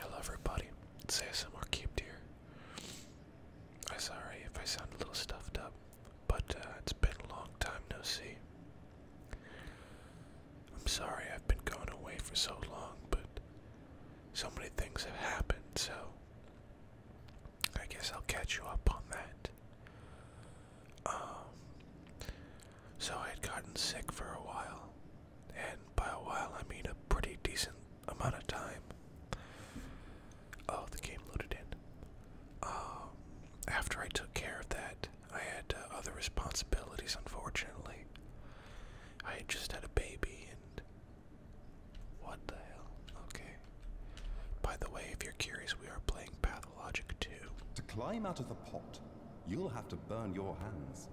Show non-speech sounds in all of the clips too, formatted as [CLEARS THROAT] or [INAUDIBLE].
I love everybody. say some more cute dear. I'm sorry if I sound a little stuffed up, but uh, it's been a long time no see. I'm sorry I've been going away for so long, but so many things have happened, so I guess I'll catch you up on that. Um, so I had gotten sick for a while, and by a while I mean a pretty decent amount of time. Oh, the game loaded in. Um, after I took care of that, I had uh, other responsibilities, unfortunately. I had just had a baby and. What the hell? Okay. By the way, if you're curious, we are playing Path to climb out of the pot, you'll have to burn your hands.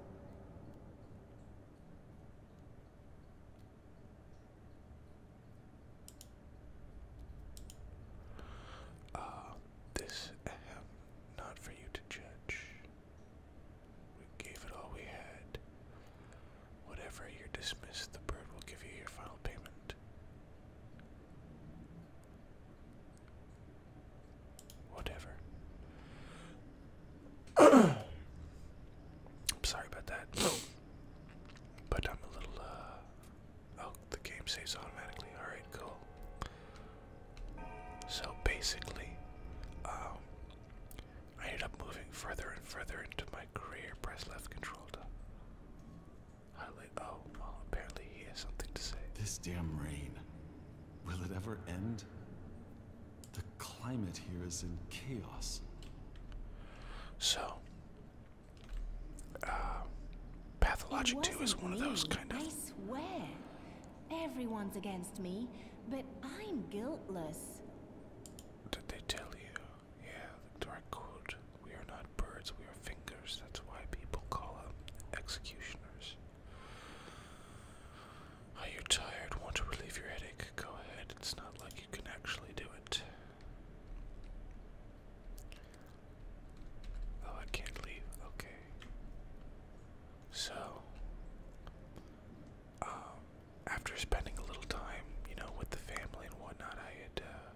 Uh, this I not for you to judge. We gave it all we had. Whatever you're dismissed, the bird will give you your final payment. Whatever. [CLEARS THROAT] I'm sorry about that. But I'm a little, uh. Oh, the game saves automatically. Alright, cool. So basically, um, I ended up moving further and further into my career. Press left control to Oh, apparently he has something to say. This damn rain. Will it ever end? The climate here is in chaos. So, uh, Pathologic 2 is one of those kind of. I swear. Everyone's against me, but I'm guiltless. did they tell you? Yeah, the dark code. We are not birds, we are fingers. That's why people call us executioners. Are you tired? Want to relieve your headache? Go ahead. It's not like you can actually do it. Oh, I can't leave. Okay. So, um, after spending a little time, you know, with the family and whatnot, I had uh,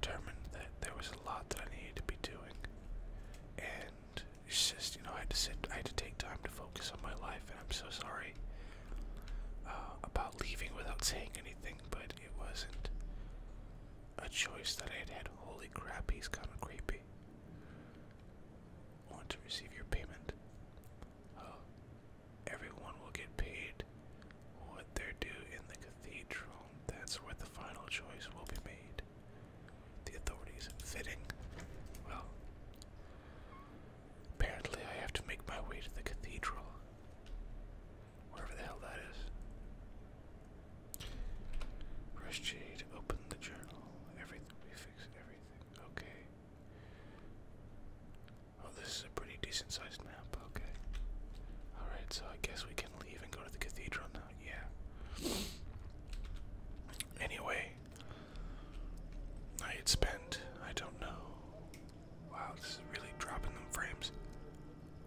determined that there was a lot that I needed to be doing, and it's just you know I had to sit, I had to take time to focus on my life, and I'm so sorry uh, about leaving without saying anything, but it wasn't a choice that I had Holy crap, he's kind of creepy. Want to receive your payment? Uh, everyone will get paid what they're in the Cathedral. That's where the final choice will be made. The authorities in fitting. Well, apparently I have to make my way to the cathedral. Wherever the hell that is. Jade open the journal. Everything, we fix everything. Okay. Oh, this is a pretty decent sized map okay. Alright, so I guess we can leave and go to the cathedral now, yeah. Anyway, I had spent, I don't know. Wow, this is really dropping them frames.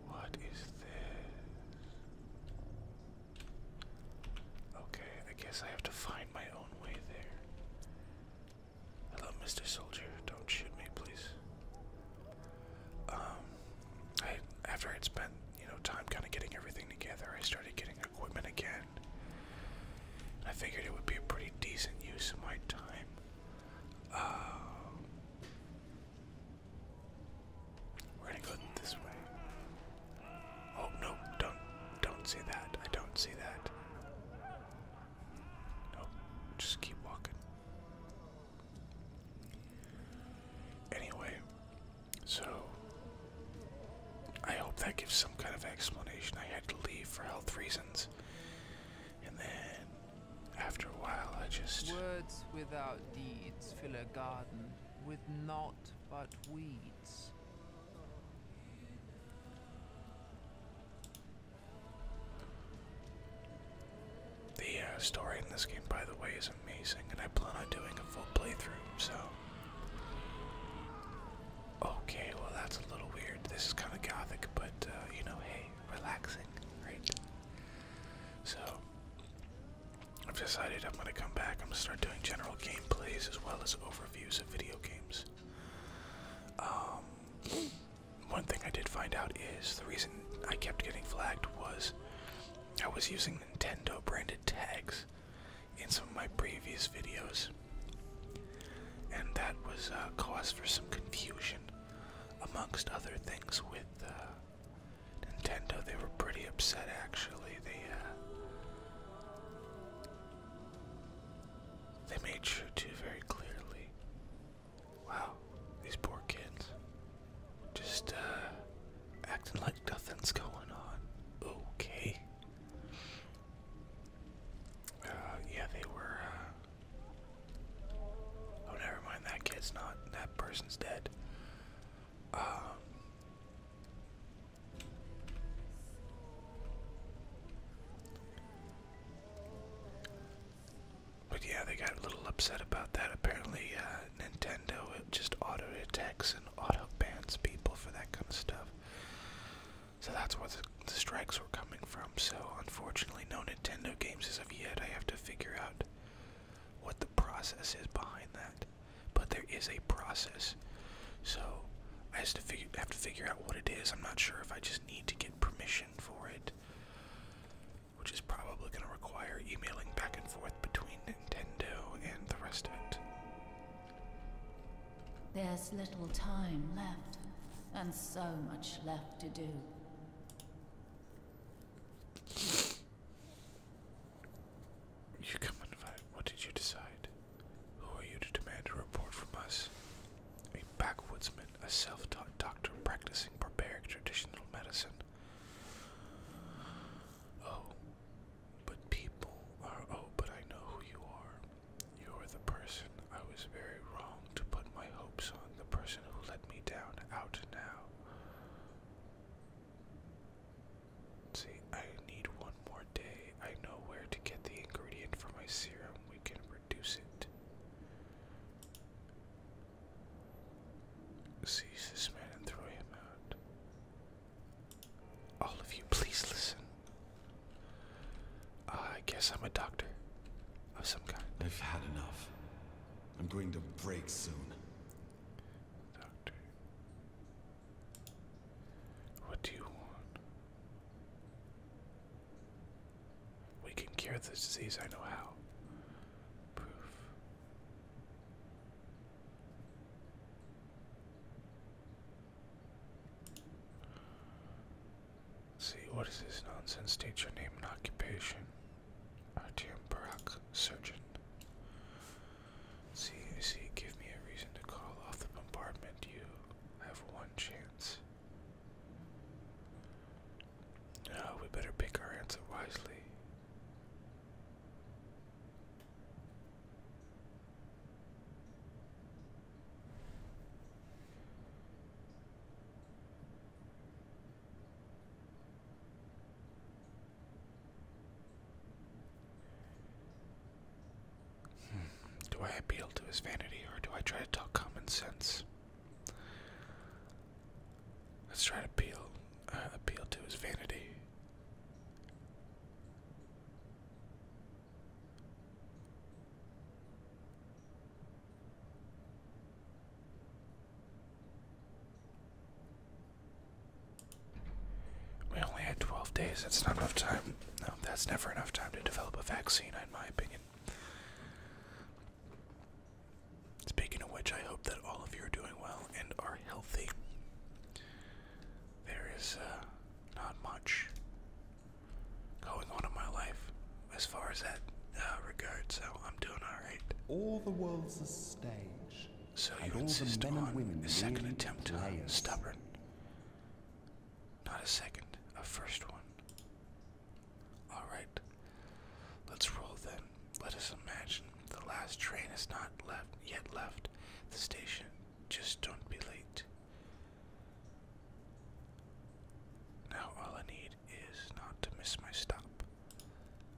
What is this? Okay, I guess I have to find my own way there. Hello, Mr. Soldier. Don't shoot me, please. Um, I after I'd spent you know time kind of getting everything together, I started getting equipment again. I figured it would be a pretty decent use of my time. Uh, to go this way. Oh no! Don't don't see that. I don't see that. Nope. Just keep walking. Anyway, so I hope that gives some kind of explanation. I had to leave for health reasons. And then after a while I just Words without deeds fill a garden with naught but weeds. The uh, story in this game, by the way, is amazing, and I plan on doing a full playthrough, so. Okay, well, that's a little weird. This is kind of gothic, but, uh, you know, hey, relaxing, right? So, I've decided I'm going to come back. I'm going to start doing general gameplays as well as overviews of video games. Um, one thing I did find out is the reason I kept getting flagged was I was using Nintendo branded tags in some of my previous videos, and that was a uh, cause for some confusion, amongst other things. With uh, Nintendo, they were pretty upset. Actually, they uh, they made sure to very clearly Wow, these poor kids. Just uh, acting like nothing's going on. Okay. Uh, yeah, they were. Uh... Oh, never mind. That kid's not. That person's dead. Um, but yeah, they got a little upset about that. Apparently, uh, Nintendo just auto attacks and auto bans people for that kind of stuff. So that's where the, strikes were coming from. So unfortunately, no Nintendo games as of yet. I have to figure out what the process is behind that. But there is a process. So I have to figure out what it is. I'm not sure if I just need to get permission for it which is probably going to require emailing back and forth between Nintendo and the rest of it. There's little time left, and so much left to do. You come and fight. What did you decide? Who are you to demand a report from us? A backwoodsman, a self taught doctor practicing barbaric traditional medicine, Oh, but people are, oh, but I know who you are. You are the person I was very wrong to put my hopes on, the person who let me down out now. See, I need one more day. I know where to get the ingredient for my serum. We can reduce it. Seize this man and throw him out. All of you, please listen. Uh, I guess I'm a doctor of some kind. I've had enough. I'm going to break soon. Doctor. What do you want? We can cure this disease, I know how. Proof see, what is this nonsense? State your name and occupation. RTM Barak, surgeon. See, see, give me a reason to call off the bombardment. You have one chance. No, ah, we better pick our answer wisely. Hmm. Do I appeal to his vanity or do I try to talk common sense? Let's try to appeal, uh, appeal to his vanity. We only had 12 days. That's not enough time. No, that's never enough time to develop a vaccine, in my opinion. Speaking of which, I hope that all of you are doing well and are healthy. There is uh, not much going on in my life as far as that uh, so I'm doing alright. All the world's a stage. So you insist on a second attempt to uh, stubborn. Not a second, a first one. Alright, let's roll then. Let us imagine the last train has not left yet left the station. Just don't be late. Now all I need is not to miss my stop.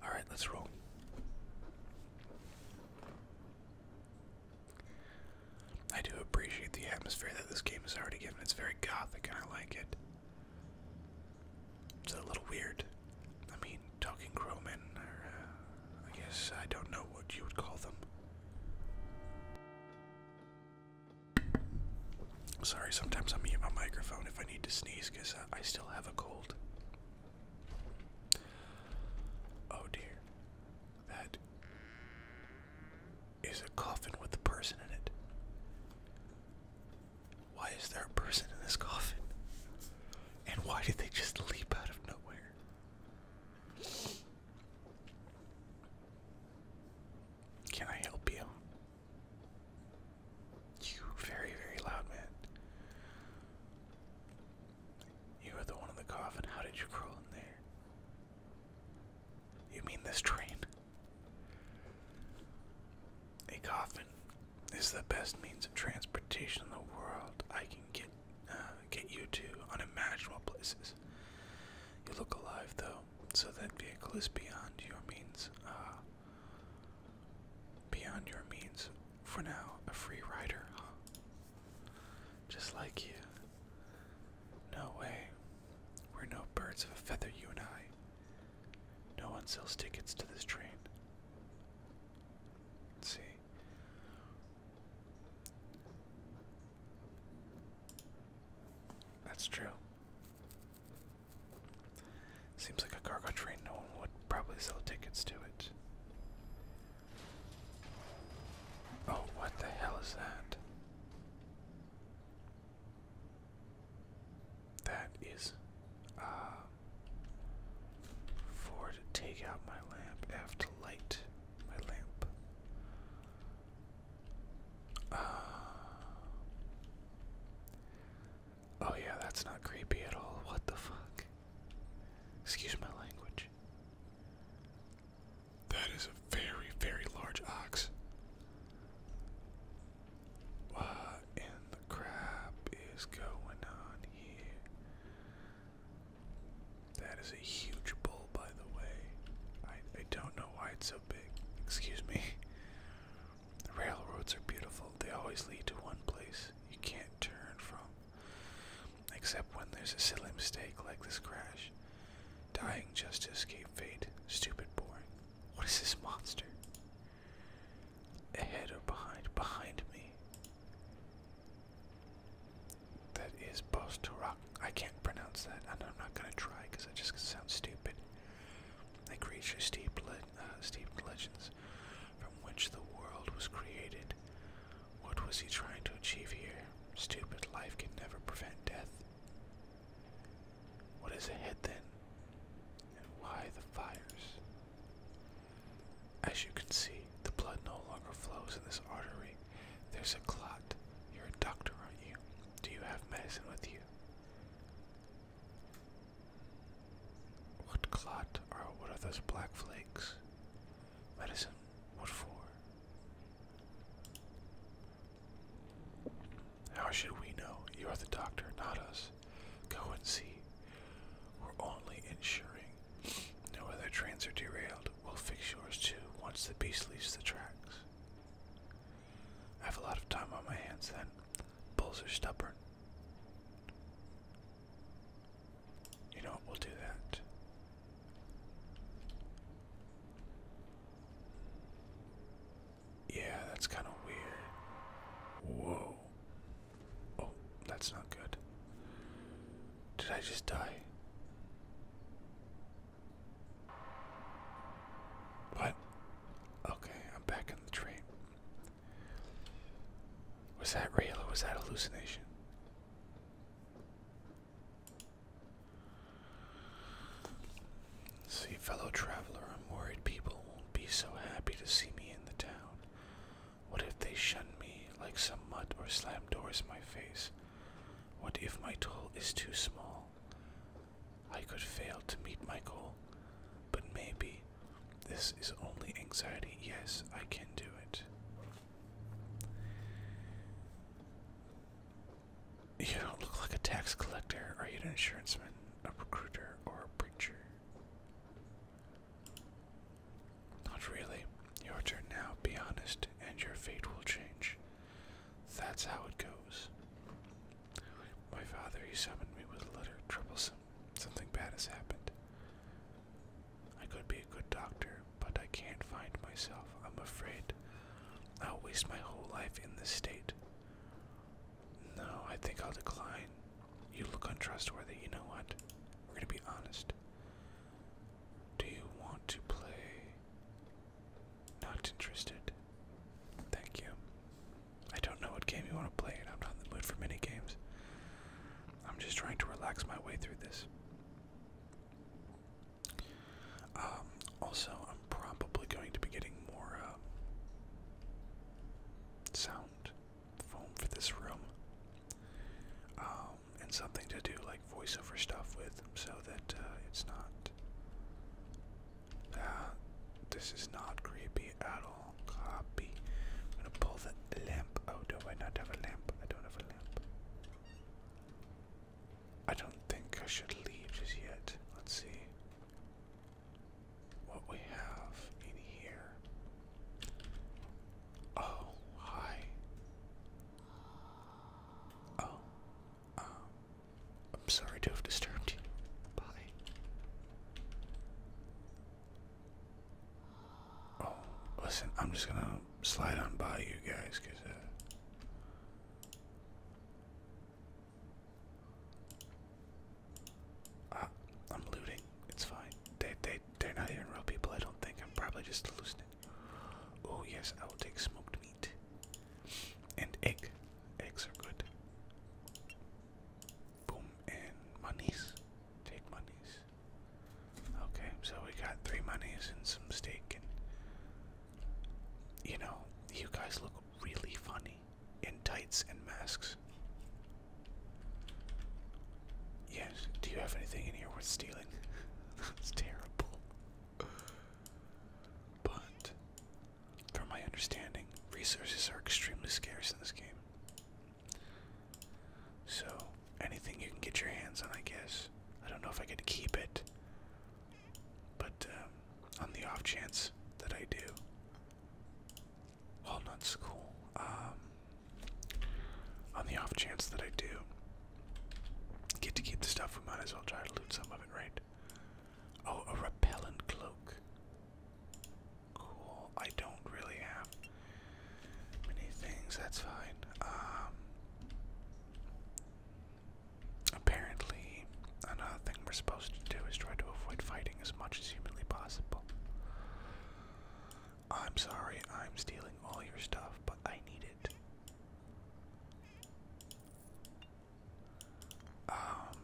Alright, let's roll. I do appreciate the atmosphere that this game has already given. It's very gothic and I like it. It's a little weird. I mean, talking crowmen or uh, I guess, I don't know what you would call them. Sorry, sometimes I mute my microphone if I need to sneeze because I still have a cold. Oh dear. That is a coffin with a person in it. Why is there a person in this coffin? And why did they just leap out of nowhere? Can I help you? You very, very loud man. You are the one in the coffin. How did you crawl in there? You mean this train? A coffin is the best means of transportation in the world. I can get uh, get you to unimaginable places. You look alive though, so that vehicle is beyond your means. Uh, beyond your means. For now, a free rider, huh? Just like you. No way. We're no birds of a feather, you and I. No one sells tickets to this train. see. That's true. Seems like a cargo train, no one would probably sell tickets to it. Oh, what the hell is that? That is uh, for to take out my lamp. F light my lamp. Uh, oh yeah, that's not creepy at all. What the fuck? Excuse my language. That is a very, very large ox. What in the crap is going on here? That is a huge bull, by the way. I, I don't know why it's so big. Excuse me. The railroads are beautiful, they always lead to one place you can't turn from. Except when there's a silly mistake like this crash. Dying just to escape fate. Stupid boy. What is this monster? Ahead or behind? Behind me. That is Bostorak. I can't pronounce that, and I'm not gonna try because it just sounds stupid. They creature steeped, le uh, legends from which the world was created. What was he trying to achieve here? Stupid life can never prevent death. What is ahead then? and why the fires. As you can see, the blood no longer flows in this artery. There's a clot. You're a doctor, aren't you? Do you have medicine with you? What clot or what are those black flakes? Medicine? What for? How should we know? You are the doctor, not us. Go and see. We're only ensuring No other trains are derailed. We'll fix yours too once the beast leaves the tracks. I have a lot of time on my hands then. Bulls are stubborn. You know what? We'll do that. Yeah, that's kind of weird. Whoa. Oh, that's not good. Did I just die? What? Okay, I'm back in the train. Was that real or was that hallucination? See, fellow traveler, I'm worried people won't be so happy to see me in the town. What if they shun me like some mutt or slam doors in my face? What if my toll is too small? I could fail to meet my goal, but maybe this is only anxiety. Yes, I can do it. You don't look like a tax collector. Are you an insuranceman, a recruiter, or a preacher? Not really. Your turn now, be honest, and your fate will change. That's how it goes. My father, he summoned me with a letter, troublesome. Something bad has happened. I could be a good doctor, but I can't find myself, I'm afraid. I'll waste my whole life in this state. No, I think I'll decline. You look untrustworthy. You know what? We're gonna be honest. Do you want to play? Not interested. Thank you. I don't know what game you want to play, and I'm not in the mood for mini games. I'm just trying to relax my way through this. Um, also, I'm probably going to be getting more uh, sound found foam for this room um, and something to do like voiceover stuff with so that uh, it's not. Uh, this is not creepy at all. Copy. I'm gonna pull the lamp. Oh, do I not have a lamp? I don't have a lamp. I don't think I should leave just yet. Let's see what we have in here. Oh, hi. Oh, um, I'm sorry to have disturbed you. Bye. Oh, listen, I'm just gonna slide on by you guys, cause, uh, uh, I'm looting. It's fine. They they they're not even real people. I don't think. I'm probably just hallucinating. Oh yes, I will take smoked meat and egg. Eggs are good. Boom and monies. Take monies. Okay, so we got three monies and some steak and. You know, you guys look really funny me in tights and masks. Yes, do you have anything in here worth stealing? [LAUGHS] That's terrible. But, from my understanding, resources are extremely scarce in this game. So, anything you can get your hands on, I guess. I don't know if I could keep it, but um, on the off chance that I do, well, nut's um, on the off chance that I do get to keep the stuff, we might as well try to loot some of it, right? Oh, a repellent cloak. Cool. I don't really have many things. That's fine. Um, apparently, another thing we're supposed to do is try to avoid fighting as much as humanly possible. I'm sorry, I'm stealing all your stuff, but I need it. Um,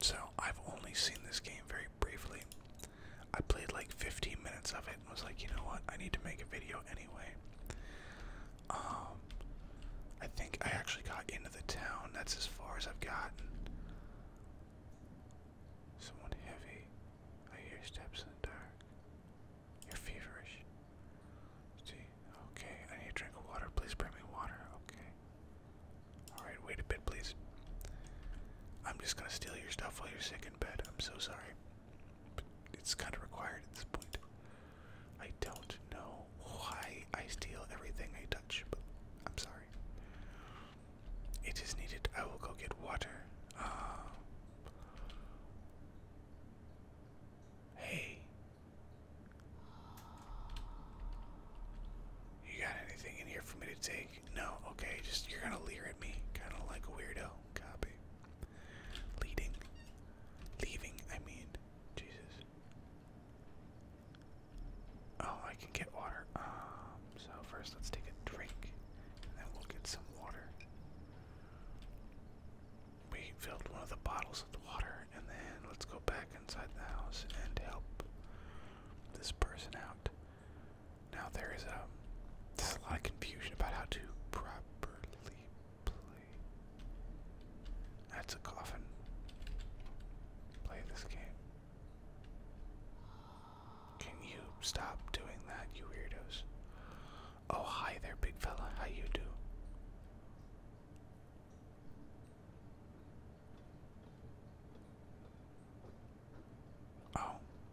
so I've only seen this game very briefly. I played like 15 minutes of it and was like, you know what, I need to make a video anyway. Um, I think I actually got into the town. That's as far as I've gotten. Someone heavy. I hear steps in the dark. You're feverish. See? Okay, I need a drink of water. Please bring me water. Okay. Alright, wait a bit, please. I'm just gonna steal your stuff while you're sick in bed. I'm so sorry. But it's kind of required at this point. I don't know why I steal everything I touch, but I'm sorry. It is needed. I will go get water. Uh, hey. You got anything in here for me to take? No, okay, just you're gonna leer at me. Kinda like a weirdo. Copy. Leading. Leaving, I mean. Jesus. Oh, I can get water. Um, so first let's take a drink, and then we'll get some water. We filled one of the bottles with water, and then let's go back inside the house and help this person out. Now there is a lot of confusion about how to properly That's a coffin. Play this game. Can you stop doing that, you weirdos? Oh, hi there, big fella. How you do? Oh,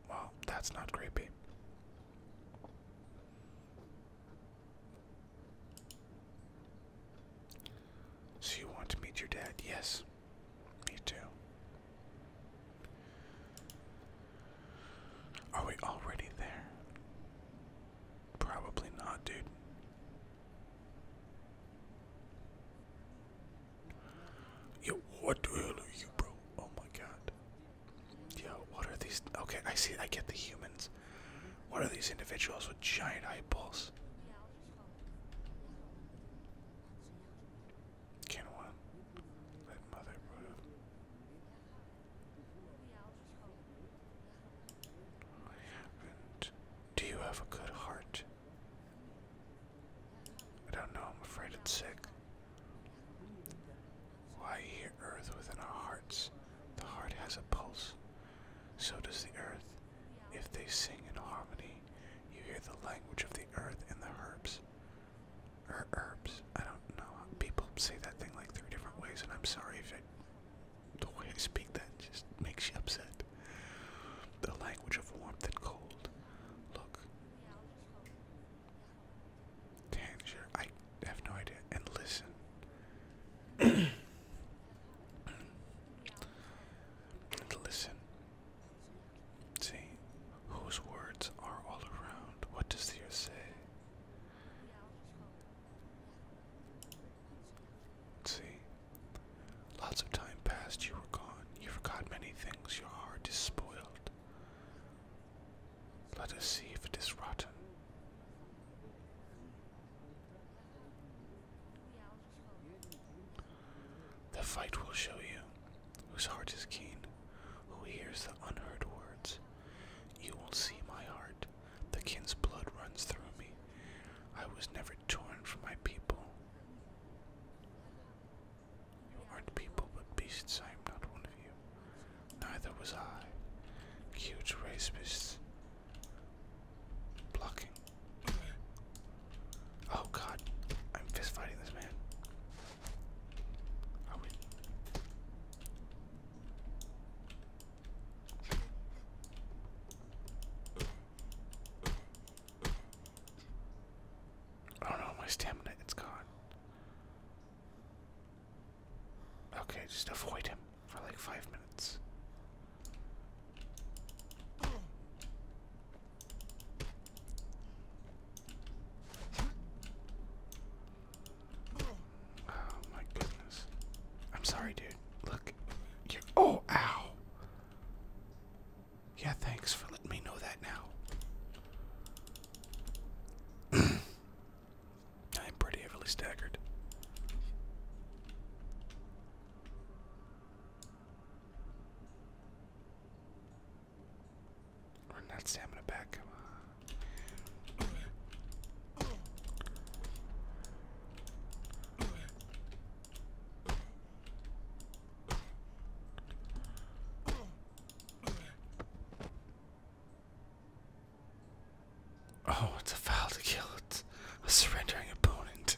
well, that's not creepy. So you want to meet your dad? Yes. Me too. Are we already there? Probably not, dude. Yo, what the hell are you, bro? Oh my god. Yo, what are these? Okay, I see, I get the humans. What are these individuals with giant eyeballs? Can one let mother Do you have a good heart? I don't know, I'm afraid it's sick. Why here earth within our hearts? The heart has a pulse. So does the earth. If they sing in harmony, you hear the language of the earth and the herbs. Or er, herbs. I don't know. People say that thing like three different ways, and I'm sorry if I, the way I speak that just makes you upset. The language of warmth and cold. Look. Tangier. I have no idea. And listen. [CLEARS THROAT] and listen. See, whose words are all around? What does the say? See, lots of time passed, you were gone. You forgot many things, your heart is spoiled. Let us see if it is rotten. The fight will show you whose heart is keen, who hears the unheard words. You will see my heart, the kin's blood runs through me. I was never torn from my people. You aren't people but beasts, I am not one of you. Neither was I. Huge race beasts blocking Oh god, I'm fist fighting this man. Are we? Oh no, my stamina, it's gone. Okay, just avoid him for like five minutes. Oh my goodness. I'm sorry, dude. Look. You're, oh, ow. Yeah, thanks for letting me know that now. [CLEARS THROAT] I am pretty heavily staggered. We're not stamina back, come on. Oh, it's a foul to kill It's A surrendering opponent.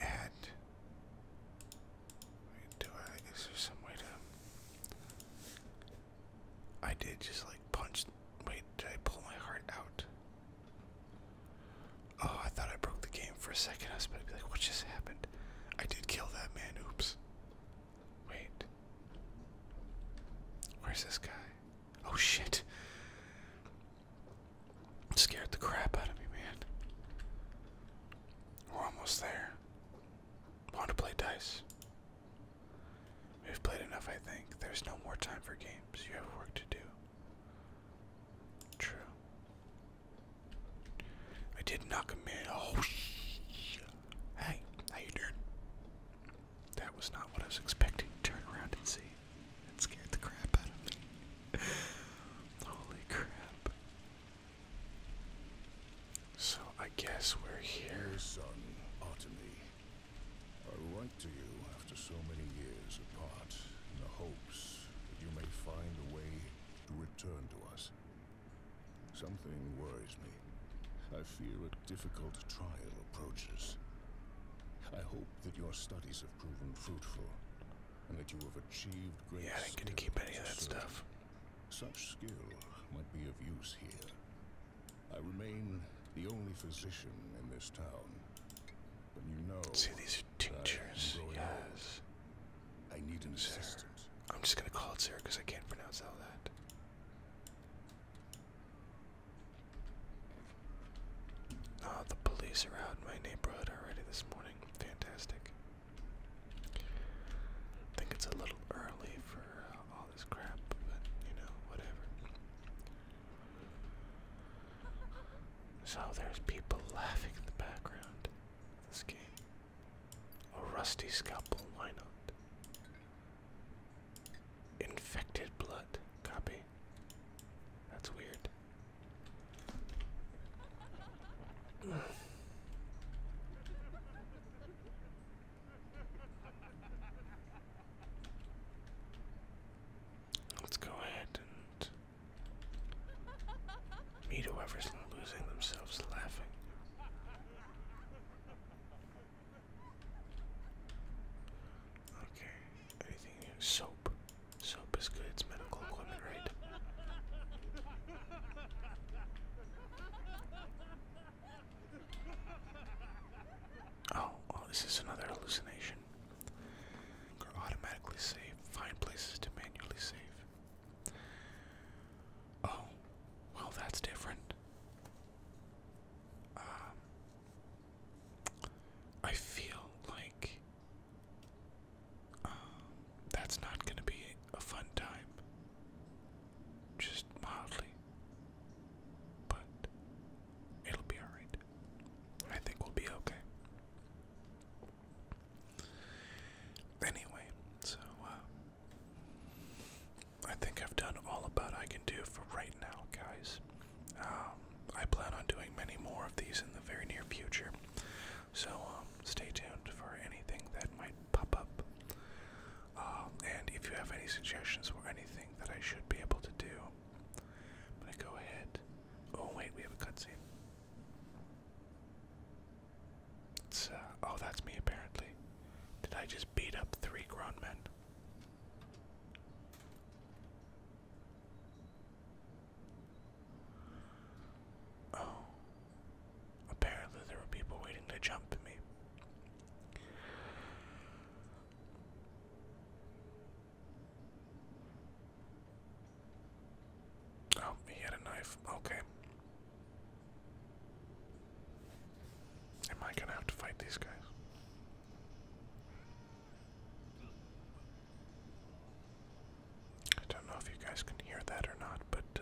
And do I? Is there some way to? I did just like punch. Wait, did I pull my heart out? Oh, I thought I broke the game for a second. I was about to be like, what just happened? I did kill that man. Oops. Wait. Where's this guy? Oh shit. It scared the crap out of me, man. We're almost there. Want to play dice? We've played enough, I think. There's no more time for games. You have work to do. True. I did knock him in. Oh, sh Hey, how you doing? That was not what I was expecting. Turn around and see. It scared the crap out of me. [LAUGHS] Holy crap. So I guess we're here. son, Ottomy, I write to you after so many years apart in the hopes that you may find a way to return to us. Something worries me. I fear a difficult trial approaches. I hope that your studies have proven fruitful, and that you have achieved great Yeah, I didn't get to keep any of that stuff. Such skill might be of use here. I remain the only physician in this town. But you know See these tinctures. Yes. I need an assistant. I'm just gonna call it Sarah because I can't pronounce all that. Oh, the police are out in my neighborhood already this morning. Fantastic. I think it's a little early for uh, all this crap, but you know, whatever. So there's people laughing in the background. This game. A rusty scalpel, why not? Infected blood. Copy. That's weird. Let's go ahead and meet whoever's losing themselves laughing. Okay, Anything here? Soap. Soap is good. It's medical equipment, right? Oh, oh, this is another hallucination. automatically save. Find places to manually save. Oh, well, that's different. Um, I feel like um, that's not going to be a fun time. Just mildly. But it'll be alright. I think we'll be okay. Anyway, so, uh, I think I've done all about I can do for right now, guys. Um, um, I plan on doing many more of these in the very near future. So um, stay tuned for anything that might pop up. Um, and if you have any suggestions for anything that I should be able to do, I'm gonna go ahead. Oh wait, we have a cutscene. It's uh, oh, that's me apparently. Did I just beat up three grown men? Oh. Apparently, there were people waiting to jump at me. Oh, he had a knife. Okay. Am I gonna have to fight these guys? I don't know if you guys can hear that or not, but uh,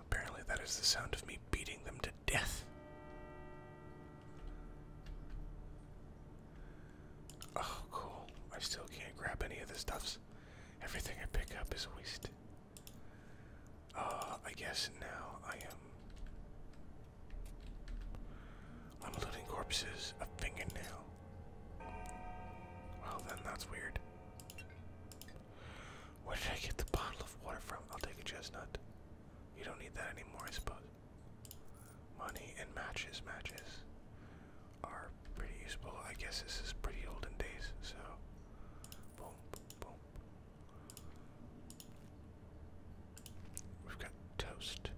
apparently that is the sound of me beating them to death. Oh, cool. I still can't grab any of the stuffs. Everything I pick up is wasted. Uh, I guess now I am. I'm looting corpses, a fingernail. Well, then that's weird. Where did I get the bottle of water from? I'll take a chestnut. You don't need that anymore, I suppose. Money and matches, matches are pretty useful. I guess this is pretty olden days, so. Boom, boom. We've got toast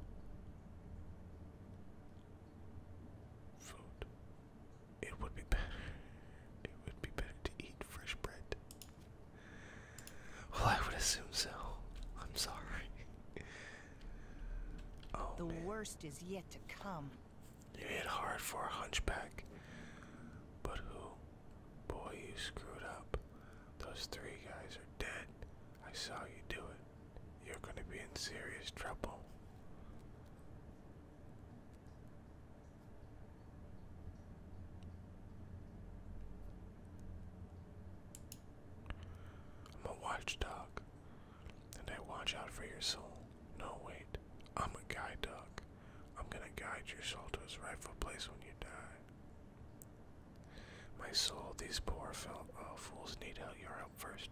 food. It would be better. It would be better to eat fresh bread. Well, I would assume so. I'm sorry. [LAUGHS] Oh, the worst is yet to come. You hit hard for a hunchback. But who? Boy, you screwed up. Those three guys are dead. I saw you do it you're going to be in serious trouble. I'm a watchdog, and I watch out for your soul. No, wait, I'm a guide dog. I'm gonna guide your soul to its rightful place when you die. My soul, these poor fel uh, fools need help. You're out first.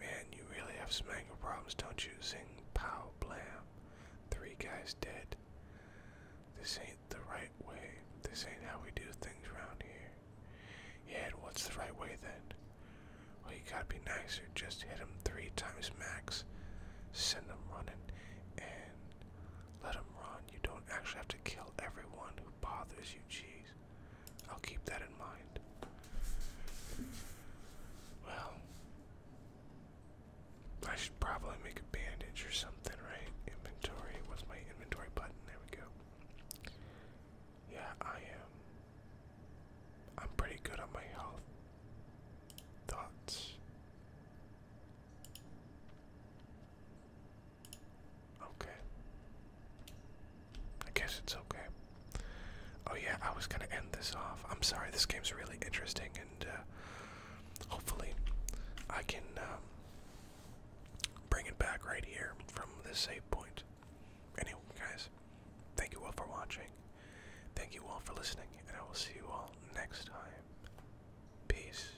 Man, you really have some anger problems, don't you? Sing, pow, blam. Three guys dead. This ain't the right way. This ain't how we do things around here. Yeah, what's the right way then? Well, you gotta be nicer. Just hit him three times max. Send him running and let him run. You don't actually have to kill everyone who bothers you. Jeez. I'll keep that in mind. Well, I should probably make a bandage or something, right? Inventory. What's my inventory button? There we go. Yeah, I am. I'm pretty good at my health. Thoughts. Okay. I guess it's okay. Oh yeah, I was gonna end this off. I'm sorry, this game's really interesting, and uh, hopefully I can um, bring it back right here from this save point. Anyway, guys, thank you all for watching. Thank you all for listening, and I will see you all next time. Peace.